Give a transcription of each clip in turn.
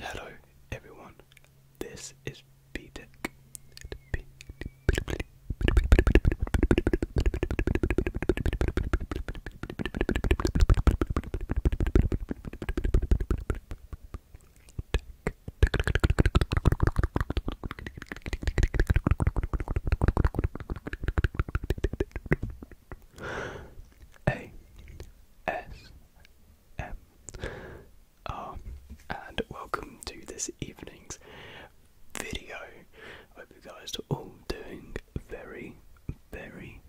Hello everyone, this is BTEC. A S M. Oh, and welcome to this evening's video. I hope you guys are all doing very, very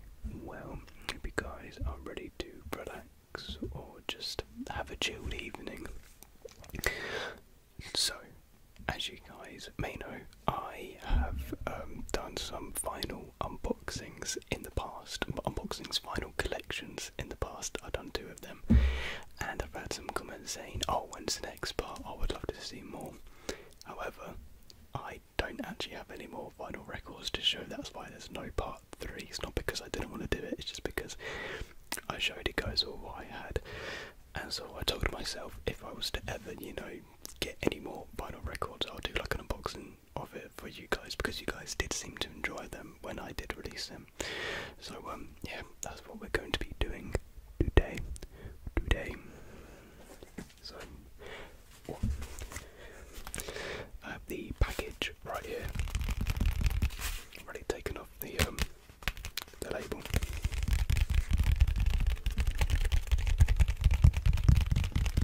well. I you guys are ready to relax or just have a chilled evening. So, as you guys may know, I have um, done some final unboxing unboxings in the past, unboxings, vinyl collections in the past. I've done two of them, and I've had some comments saying, "Oh, when's the next part? Oh, I would love to see more." However, I don't actually have any more vinyl records to show. That's why there's no part three. It's not because I didn't want to do it. It's just because I showed you guys all what I had, and so I told myself if I was to ever, you know, get any more vinyl records, I'll do like an unboxing of it for you guys because you guys did seem to enjoy them when I did release them. So um yeah, that's what we're going to be doing today. Today. So I have the package right here. Already taken off the um the label.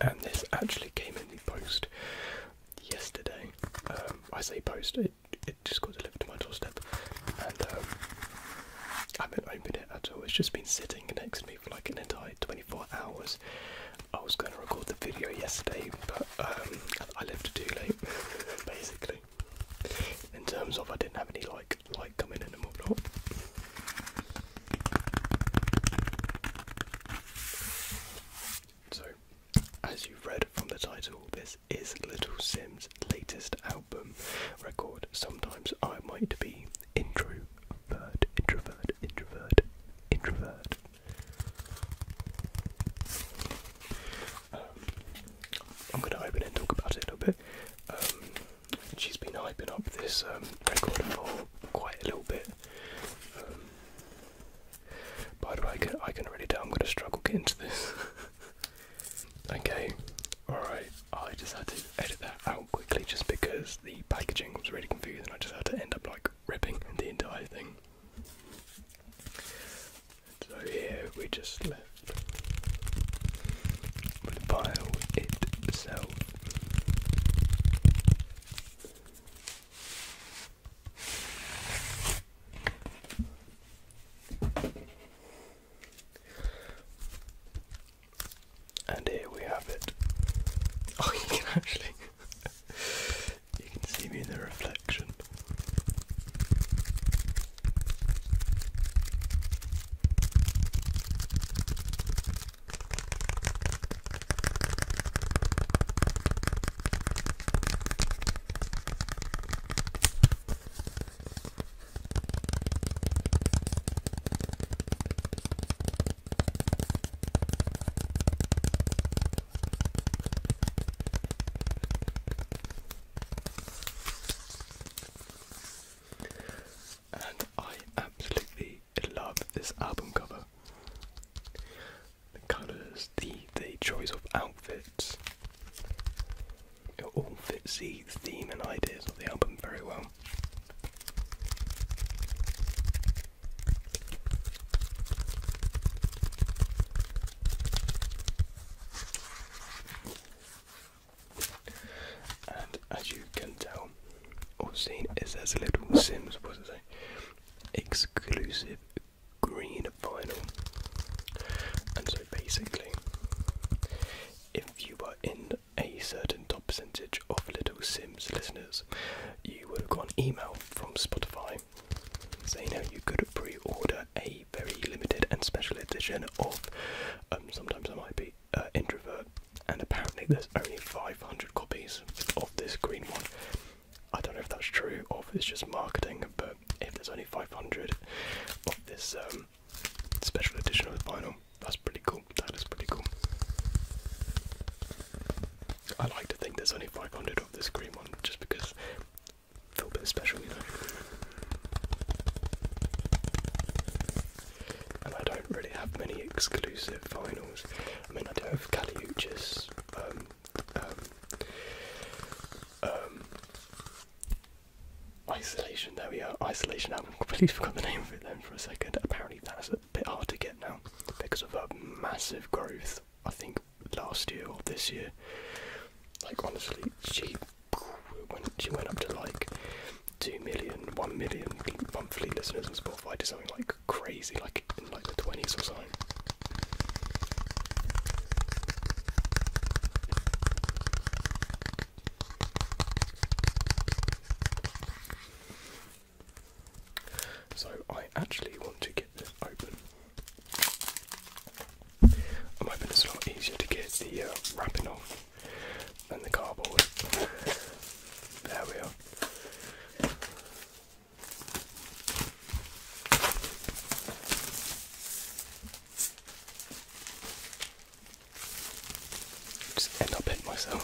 And this actually came in the post yesterday. Um, I say post, it, it just got delivered to my doorstep, and um, I haven't opened it at all. It's just been sitting next to me for like an entire 24 hours. I was going to record the video yesterday, but um, I left it too late, basically. In terms of, I didn't have any like light coming in and whatnot. So, as you've read from the title, this is Little Sim's latest album record. Sometimes I might be introvert, introvert, introvert, introvert. Um, I'm going to open and talk about it a little bit. Um, she's been hyping up this um, record for quite a little bit. By the way, I can, I can already tell I'm going to struggle getting to this. okay, alright, I just had to edit that out quickly just because the packaging was really confusing. I just had to end up like ripping the entire thing. So here we just left the pile itself. And here we have it. Oh, you can actually you can see me in the reflection. And I absolutely love this album cover the colours, the the choice of outfits. It all fits the theme and ideas of the album very well. And as you can tell or seen, it says Little Sims was an exclusive green vinyl. And so basically, if you were in a certain top percentage of Little Sims listeners, you would have got an email from Spotify saying how you could pre order a very limited and special edition of um, Sometimes I Might Be uh, Introvert. And apparently, there's only 500 copies of this green one. I don't know if that's true or if it's just marketing, but if there's only 500 of this um, special edition of the vinyl, that's pretty cool. That is pretty cool. I like to think there's only 500 of this green one just because I feel special, And I don't really have many exclusive vinyls. I mean, I do have Caliuchis, um, um, um, isolation, there we are. Isolation album. Completely forgot the name of it then for a second. Apparently, that's a bit hard to get now because of a massive growth. I think last year or this year. Like honestly, she went she went up to like two million, one million monthly listeners on Spotify to something like crazy, like in like the twenties or so. So I actually want to get this open. I'm hoping it's a lot easier to get the uh, wrapping off than the cardboard. There we are. Just end up hitting myself.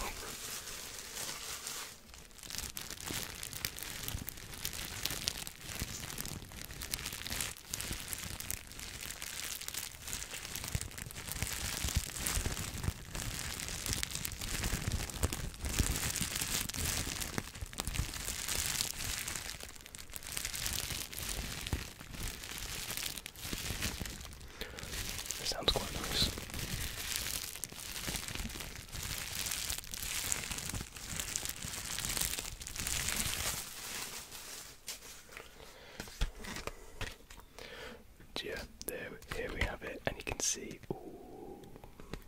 That sounds quite nice. Yeah, there, here we have it, and you can see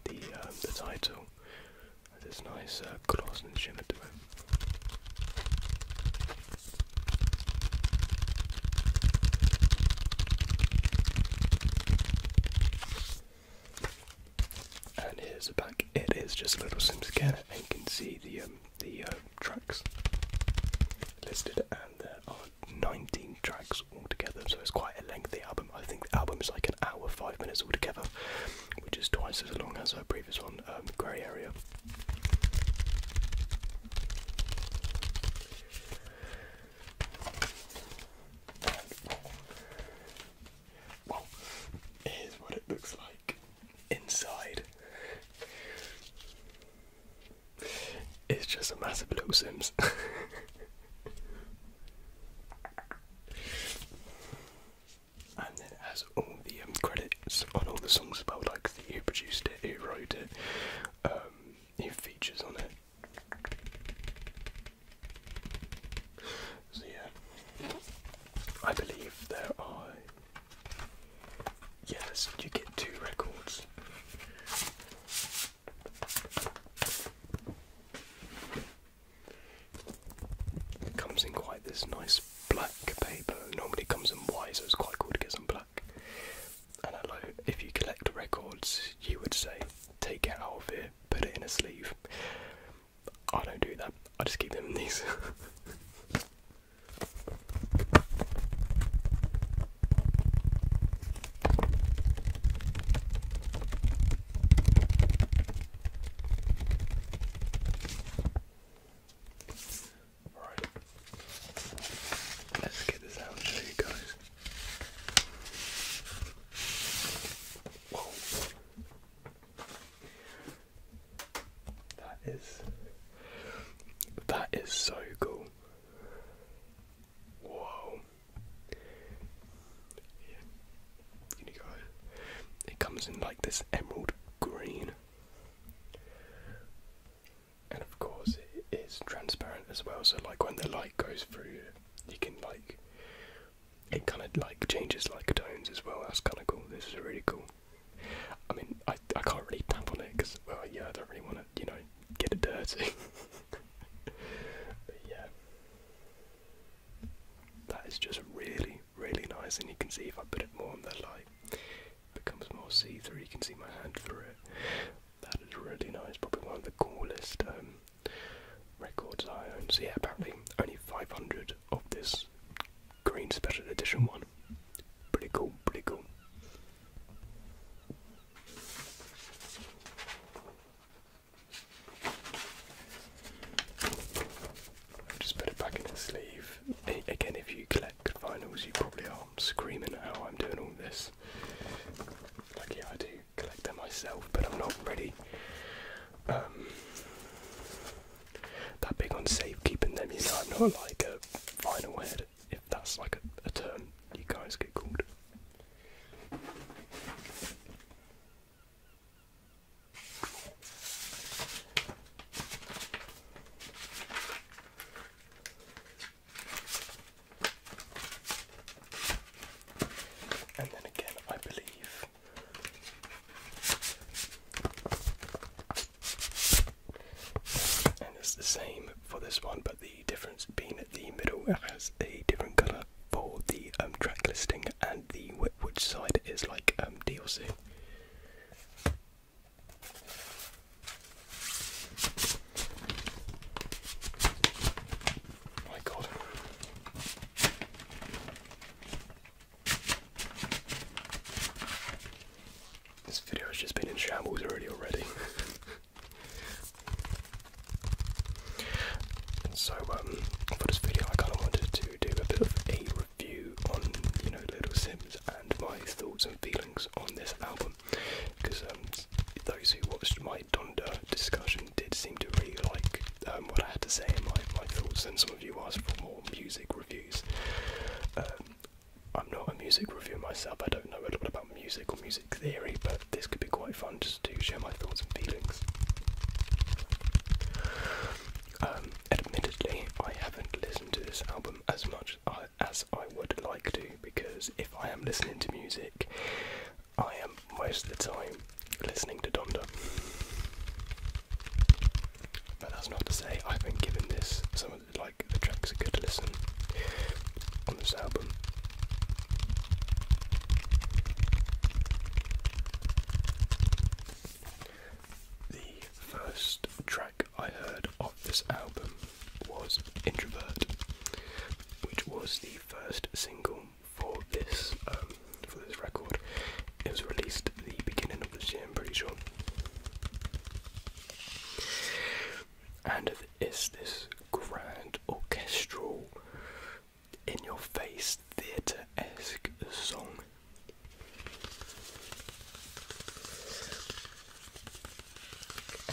the um, the title this nice uh, gloss and shimmer to it. And here's the back. It is just a little sim scanner, and you can see the um, the uh, tracks listed, and there are 19 tracks altogether. So it's quite a lengthy album. I think the album is like an hour, five minutes altogether which is twice as long as our previous one, um, grey area. Well, here's what it looks like inside. It's just a massive blue Sims. and then it has all the um, credits on all the songs about like who produced it, who wrote it, who um, features on it. So yeah, I believe there are. Yes, you get two records. It comes in quite this nice black paper. Normally It comes in white, so it's quite cool to get some black. And hello, if you collect records, you would say, take it out of here, put it in a sleeve. I don't do that. I just keep them in these. Right. Let's get this out guys. Whoa. That is that is so cool. Whoa. It comes in like this emerald green. And of course it is transparent as well, so like when the light goes through you can like it kind of like changes like tones as well. That's kind of cool. This is really cool. I mean, I I can't really tap on it because well, yeah, I don't really want to you know get it dirty. but yeah, that is just really, really nice, and you can see if I put it more on the light, it becomes more see-through. You can see my hand through it. That is really nice. Probably one of the coolest um, records I own. So yeah, apparently only 500 of this green special edition one. Pretty cool. Pretty cool. I'll just put it back in the sleeve. again, if you collect vinyls, you probably are screaming how I'm doing all this. Like, yeah, I do collect them myself, but I'm not really um, that big on safekeeping them. You know, I'm not like a vinyl head, if that's like a term you guys get called. And then again, I believe and it's the same for this one, but the difference being that the middle has a different colour for the um, track listing and the which side it is like um, DLC. My God. This video has just been in shambles already already. so um, for this video, I kind of wanted to do a bit of a review on you know Little Sims and my thoughts and feelings on this album, because um, those who watched my Donda discussion did seem to really like um, what I had to say in my, my thoughts, and some of you asked for more music reviews. I'm not a music reviewer myself, I don't know a lot about music or music theory, but this could be quite fun just to share my thoughts and feelings. Um, admittedly, I haven't listened to this album as much as I would like to because if I am listening to music, I am most of the time listening to Donda. But that's not to say I've been given this some of like the tracks a good listen on this album. The first track I heard of this album was Introvert, which was the first single for this um, for this record. It was released at the beginning of this year, I'm pretty sure. And it's this grand orchestral in your face theatre esque song.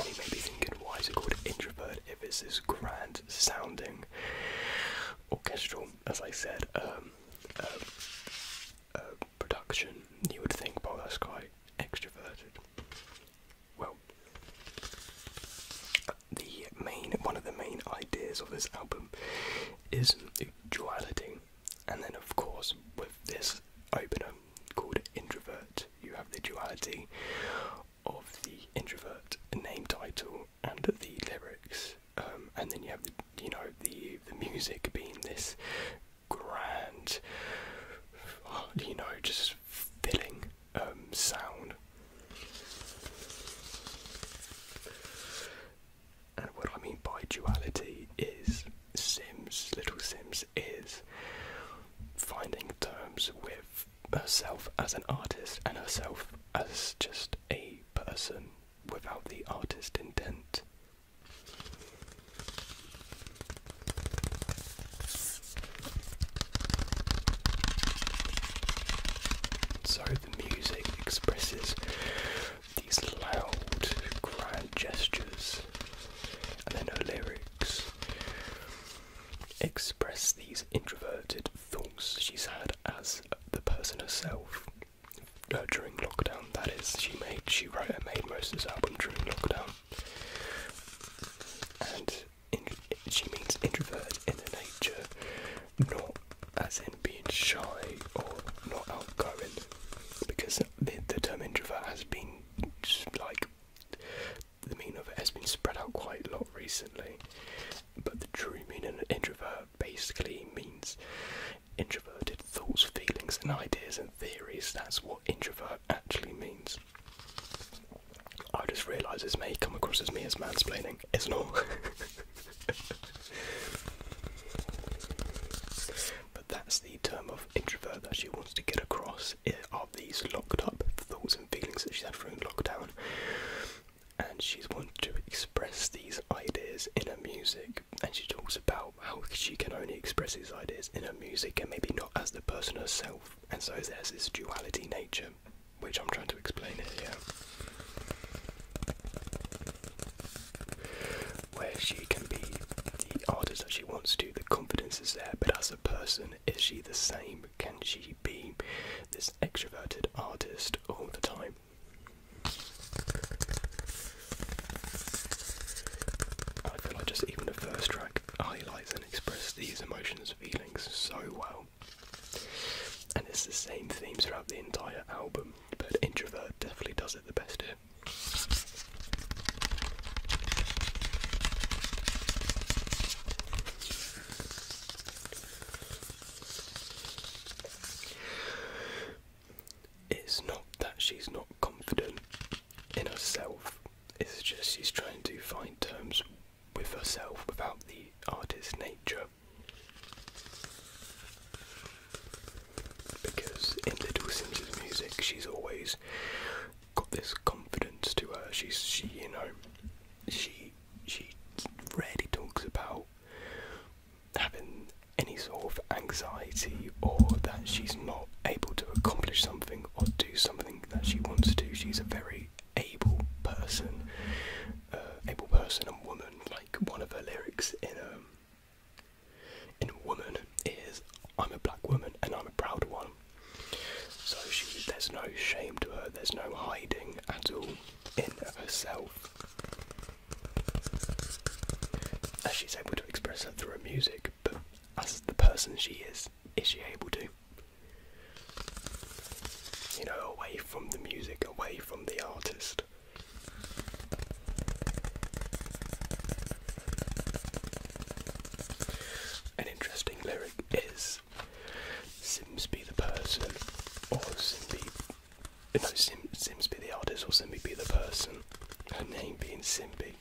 you may be thinking, why is it called Introvert if it's this grand sounding orchestral, as I said, um, um, um, production? You would think, well, that's quite extroverted. Well, the main one of the main ideas of this album is duality, and then of course with this opener called Introvert, you have the duality of the introvert name title and the lyrics, um, and then you have the, you know the the music being this grand, you know, just filling um, sound. And what I mean by duality is Sims, Little Sims is finding terms with herself as an artist and herself as just a person without the artist intent. So the music expresses these loud, grand gestures, and then her lyrics express these introverted thoughts she's had as the person herself uh, during lockdown. That is, she made, she wrote and made most of this album during lockdown, and she means introvert in the nature, not as in being shy or not outgoing, because the, term introvert has been like the meaning of it has been spread out quite a lot recently. But the true meaning of introvert basically means introverted thoughts, feelings, and ideas and theories. That's what introvert actually means. I just realise this may come across as me as mansplaining. It's not. but that's the term of introvert that she wants to get across of these locked up thoughts and feelings that she's had during lockdown. And she's wanting to express these ideas in her music, and she talks about how she can only express these ideas in her music and maybe not as the person herself. And so there's this duality nature, which I'm trying to explain here where she can be the artist that she wants to, the confidence is there, but as a person, is she the same? Can she be this extroverted artist all the time? I feel like just even the first track highlights and expresses these emotions, feelings so well. And it's the same theme throughout the entire album, but Introvert definitely does it the best here. It's not that she's not confident in herself, it's just she's trying to find terms with herself without the artist nature because in Little Sims's music, she's always got this confidence to her. She's she, you know, she she rarely talks about having any sort of anxiety or that she's not able to accomplish something or do something that she wants to. do. She's a very able person, uh, able person and woman, like one of her lyrics in a um, in Woman is I'm a black woman and I'm a proud one. So she there's no shame to her, there's no hiding at all in herself. As she's able to express her through her music, but as the person she is, is she able to? You know, away from the music, away from the artist, an interesting lyric is Sims be the person or Simbi no Sim Sims be the artist or Simbi be the person. Her name being Simbi.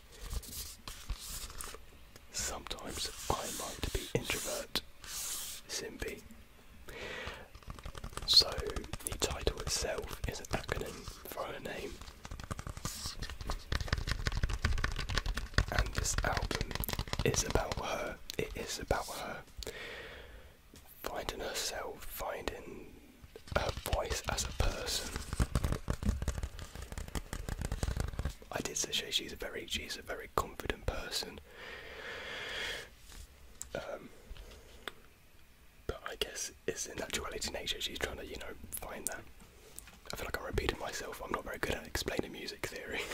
Sometimes I might be introvert. Simbi so the title itself is an acronym for her name. And this album is about her. It is about her finding herself, finding her voice as a person. I did say she's a very she's a very confident person. Um, but I guess it's in actuality nature. She's trying to, you know, find that. I feel like I'm repeating myself. I'm not very good at explaining music theory.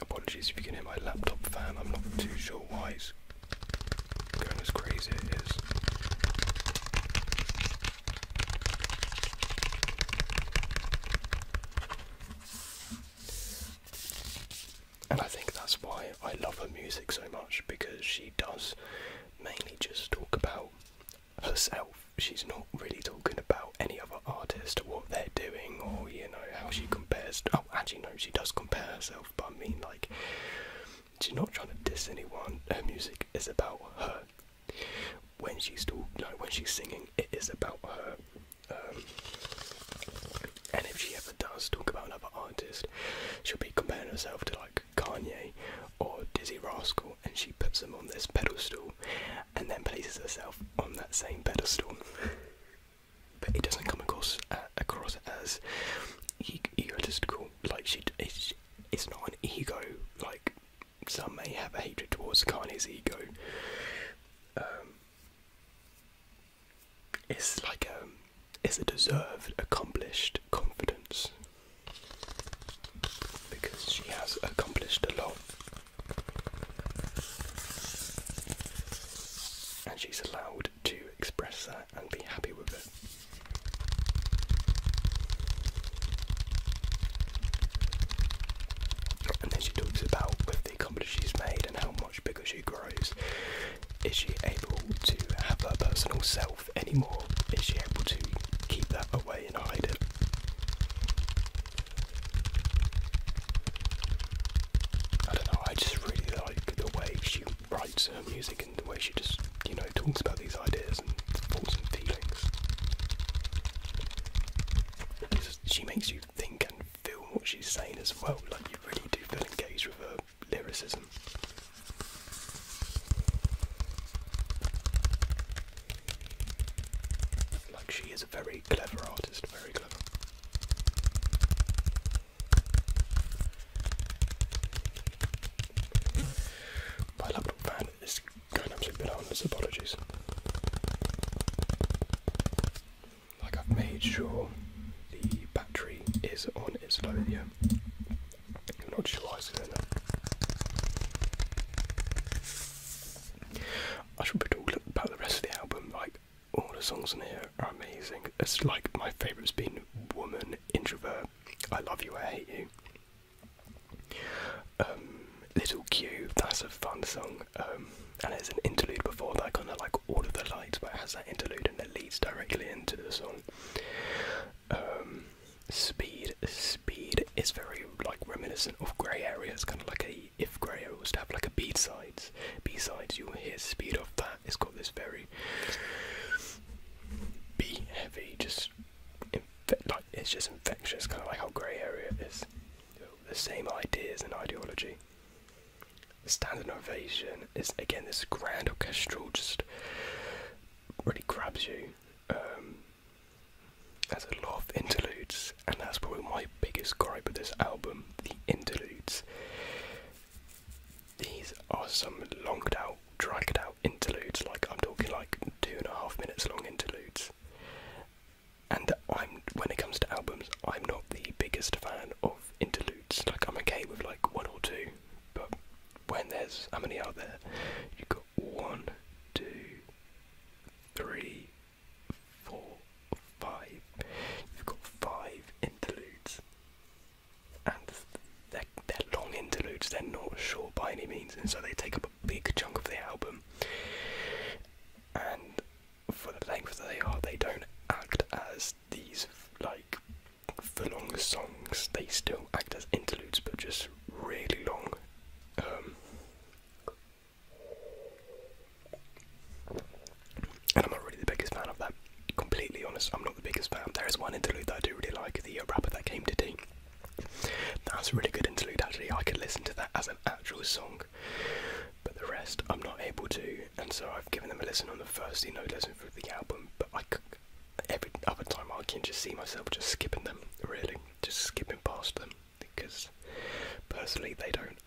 Apologies if you can hear my laptop fan. I'm not too sure why and I think that's why I love her music so much because she does mainly just talk about herself. She's not really talking about any other artist or what they're doing or, you know, how she compares to well, actually, no, she does compare herself, but I mean, like, she's not trying to diss anyone. Her music is about her. When she's talk, when she's singing, it is about her. Um, and if she ever does talk about another artist, she'll be comparing herself to like Kanye or Dizzy Rascal, and she puts them on this pedestal, and then places herself on that same pedestal. but it doesn't come across uh, as egotistical. Like she, it's, not an ego. Like some may have a hatred towards Kane's ego. Um, it's like um, it's a deserved, accomplished confidence because she has accomplished a lot. And she's allowed to express that and be happy with it. And then she talks about with the accomplishments she's made and how much bigger she grows. Is she able to have her personal self anymore? Is she able to keep that away and hide it? I don't know, I just really like the way she writes her music and the way she just, you know, talks about these ideas and thoughts and feelings. she makes you think and feel what she's saying as well, like you really do feel engaged with her lyricism. Like she is a very clever artist, very clever. My laptop fan is going absolutely bananas. Apologies. I've made sure the battery is on its low. Yeah, not sure why it's doing that. I should put all about the rest of the album, like all the songs in here are amazing. It's like my favourite's been Woman, Introvert, I Love You, I Hate You. Um, Little Cube." that's a fun song. Um, and there's an interlude before that, kind of like All of the Lights, but it has that interlude and it leads directly into the song. Um, speed, speed is very like reminiscent of Grey Area. It's kind of like a if Grey Area was to have like a B sides, B sides, you will hear speed of that. It's got this very very heavy, just like it's just infectious, kind of like how grey area is. the same ideas and ideology. The standard ovation is again this grand orchestral, just really grabs you. Um, there's a lot of interludes, and that's probably my biggest gripe with this album the interludes. These are some longed out, dragged out interludes, like I'm talking like two and a half minutes long interludes. And I'm when it comes to albums, I'm not the biggest fan of interludes. Like I'm okay with like one or two, but when there's how many are there? You got one, two, three, four, five. You've got five interludes and they're, long interludes, they're not short by any means, and so they take up a big chunk of the album. And for the length that they are, they don't act as these like full long songs, they still act as interludes but just really long. Um, and I'm not really the biggest fan of that. Completely honest, I'm not the biggest fan. There is one interlude that I do really like, the uh, rapper that came to today. That's a really good interlude actually. I could listen to that as an actual song, but the rest I'm not able to, and so I've given them a listen on the first, you know, listen through the album. But every other time I can just see myself just skipping them, really, just skipping past them because personally they don't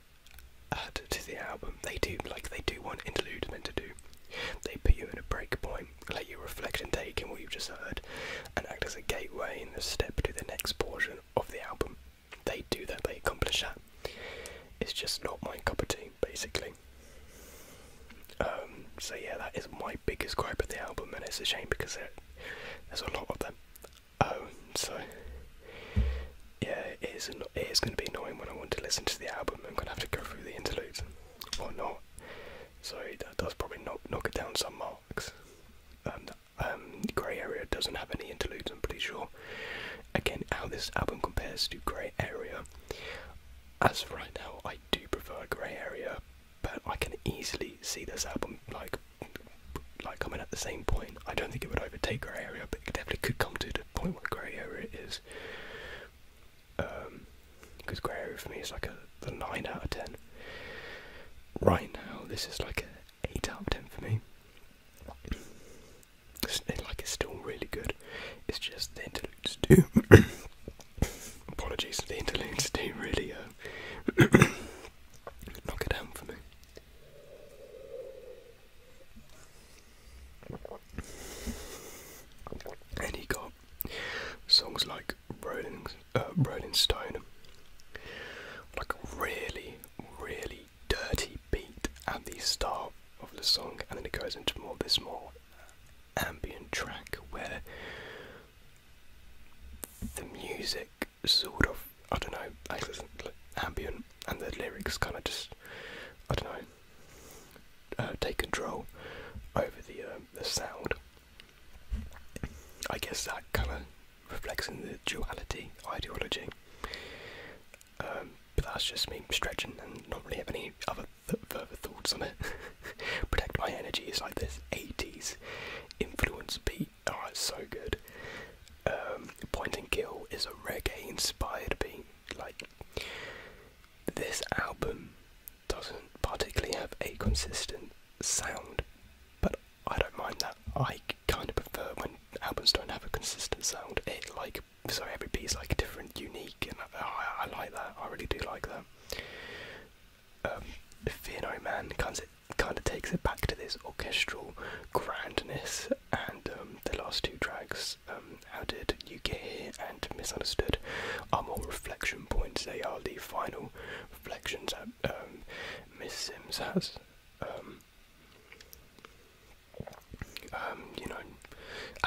add to the album. They do like they do want interlude meant to do they put you in a break point, let you reflect and take in what you've just heard, and act as a gateway in the step to the next portion of the album. They do that, they accomplish that. It's just not my cup of tea, basically. Um, so yeah, that is my biggest gripe of the album, and it's a shame because there's a lot of them. Oh, so yeah, it is, it is going to be annoying when I want to listen to the album. I'm going to have to go through the interludes or not. So that does probably knock, knock it down some marks. Um, Grey Area doesn't have any interludes, I'm pretty sure. Again, how this album compares to Grey Area. As for right now, I do prefer Grey Area, but I can easily see this album like like coming at the same point. I don't think it would overtake Grey Area, but it definitely could come to the point where Grey Area is. Because um, grey area for me is like a, 9 out of 10. Right now, this is like an 8 out of 10 for me. It's, like, it's still really good. It's just the interludes too. Apologies, the interludes do really uh, knock it down for me. And he got songs like uh, Rolling, Stone, like a really, really dirty beat at the start of the song, and then it goes into more this more ambient track where the music sort of I don't know, like ambient, and the lyrics kind of just I don't know uh, take control over the uh, the sound. I guess that kind of reflects in the duality ideology. Um, but that's just me stretching and not really have any other further thoughts on it. Protect My Energy is like this 80s influence beat. Oh, it's so good. Um, and Kill is a reggae inspired beat. Like, this album doesn't particularly have a consistent sound, but I don't mind that. I kind of prefer when albums don't have a consistent sound. It like so every piece like different, unique, and I, like that. I really do like that. Um, Fear No Man kind of kind of takes it back to this orchestral grandness, and um, the last two tracks, um, how did you get here and misunderstood? Are more reflection points. They are the final reflections that um, Miss Sims has. Um, um, you know,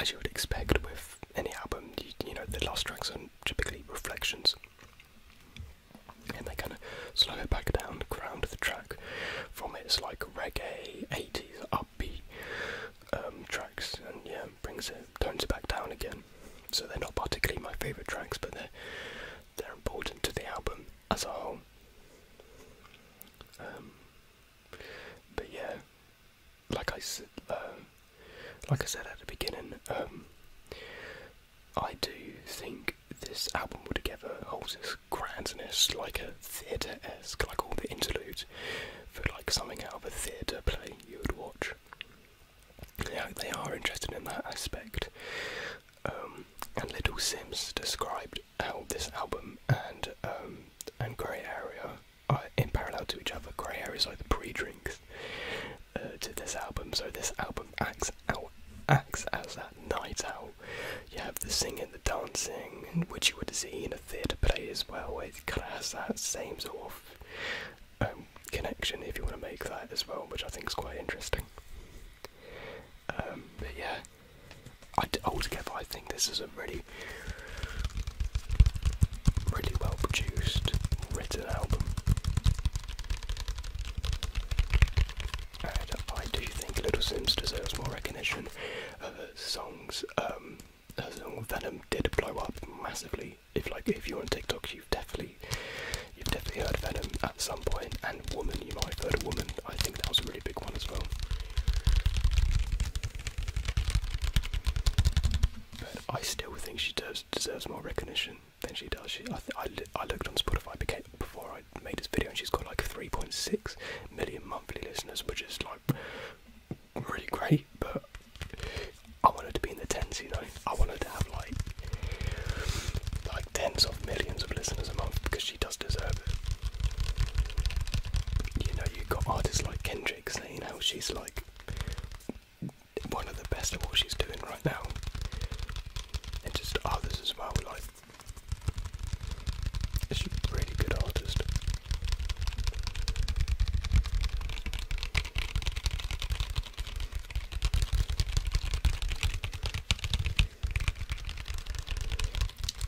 as you would expect with any album, you, know, the last tracks are typically reflections. And they kind of slow it back down, ground the track from It's like reggae, 80s, up upbeat um, tracks, and yeah, brings it tones it back down again. So they're not particularly my favourite tracks, but they're they're important to the album as a whole. Um, but yeah, uh, like I said, at the beginning, um, I do think this album altogether holds its grandness like a theatre esque, like all the interludes for like something out of a theatre play you would watch. Yeah, they are interested in that aspect. Um, and Little Sims described how this album and um, and Grey Area are in parallel to each other. Grey Area is like the pre drink uh, to this album, so this album acts out acts as that night out. You have the singing, the dancing, which you would see in a theatre play as well, it kind of has that same sort of um, connection if you want to make that as well, which I think is quite interesting. Um, but yeah, I d altogether I think this is a really, really well produced, written album. And I do think Little Sims deserves more recognition of uh, songs. Um, Venom did blow up massively. If like if you're on TikTok, you've definitely you've definitely heard Venom at some point, and Woman, you might have heard Woman. I think that was a really big one as well. But I still think she does deserves more recognition than she does. She, I, I, looked on Spotify before I made this video, and she's got like 3.6 million monthly listeners, which is like really great, but I wanted to be in the tens, you know. I wanted to have like like tens of millions of listeners a month because she does deserve it. You know, you've got artists like Kendrick saying how she's like one of the best of what she's doing right now. And just others as well, like she's a really good artist.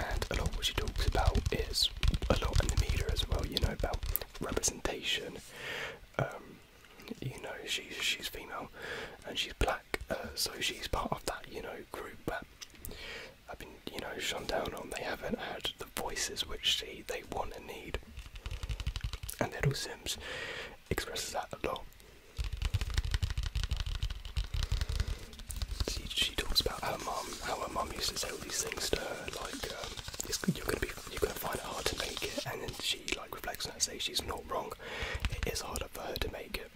And a lot what she talks about is a lot in the media as well, you know, about representation. Um, you know, she's she's female and she's black, uh, so she's part of that, you know, group you know, shone down on. They haven't had the voices which they, they want and need. And Little Sims expresses that a lot. She, talks about her mum, how her mum used to say all these things to her, like um, you're gonna be, you're gonna find it hard to make it, and then she like reflects on that, and says she's not wrong. It is harder for her to make it.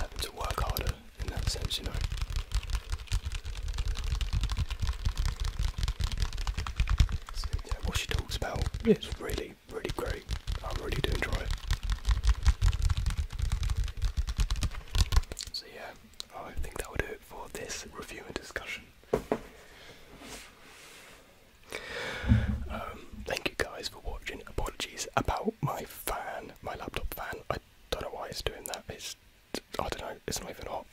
Having to work harder, in that sense, you know. So, yeah, what she talks about yes. is really, really great. I am really do enjoy it. So yeah, I think that will do it for this review and discussion. Um, thank you guys for watching. Apologies about my fan, my laptop fan. I don't know why it's doing that. It's I don't know. It's not even hot.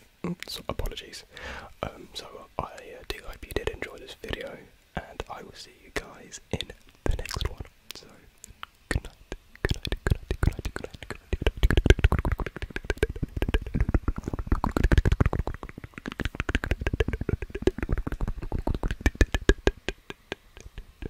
apologies. Um, so I uh, do hope you did enjoy this video, and I will see you guys in the next one. So good night. Good night. Good night. Good night. Good night. Good night. Good night.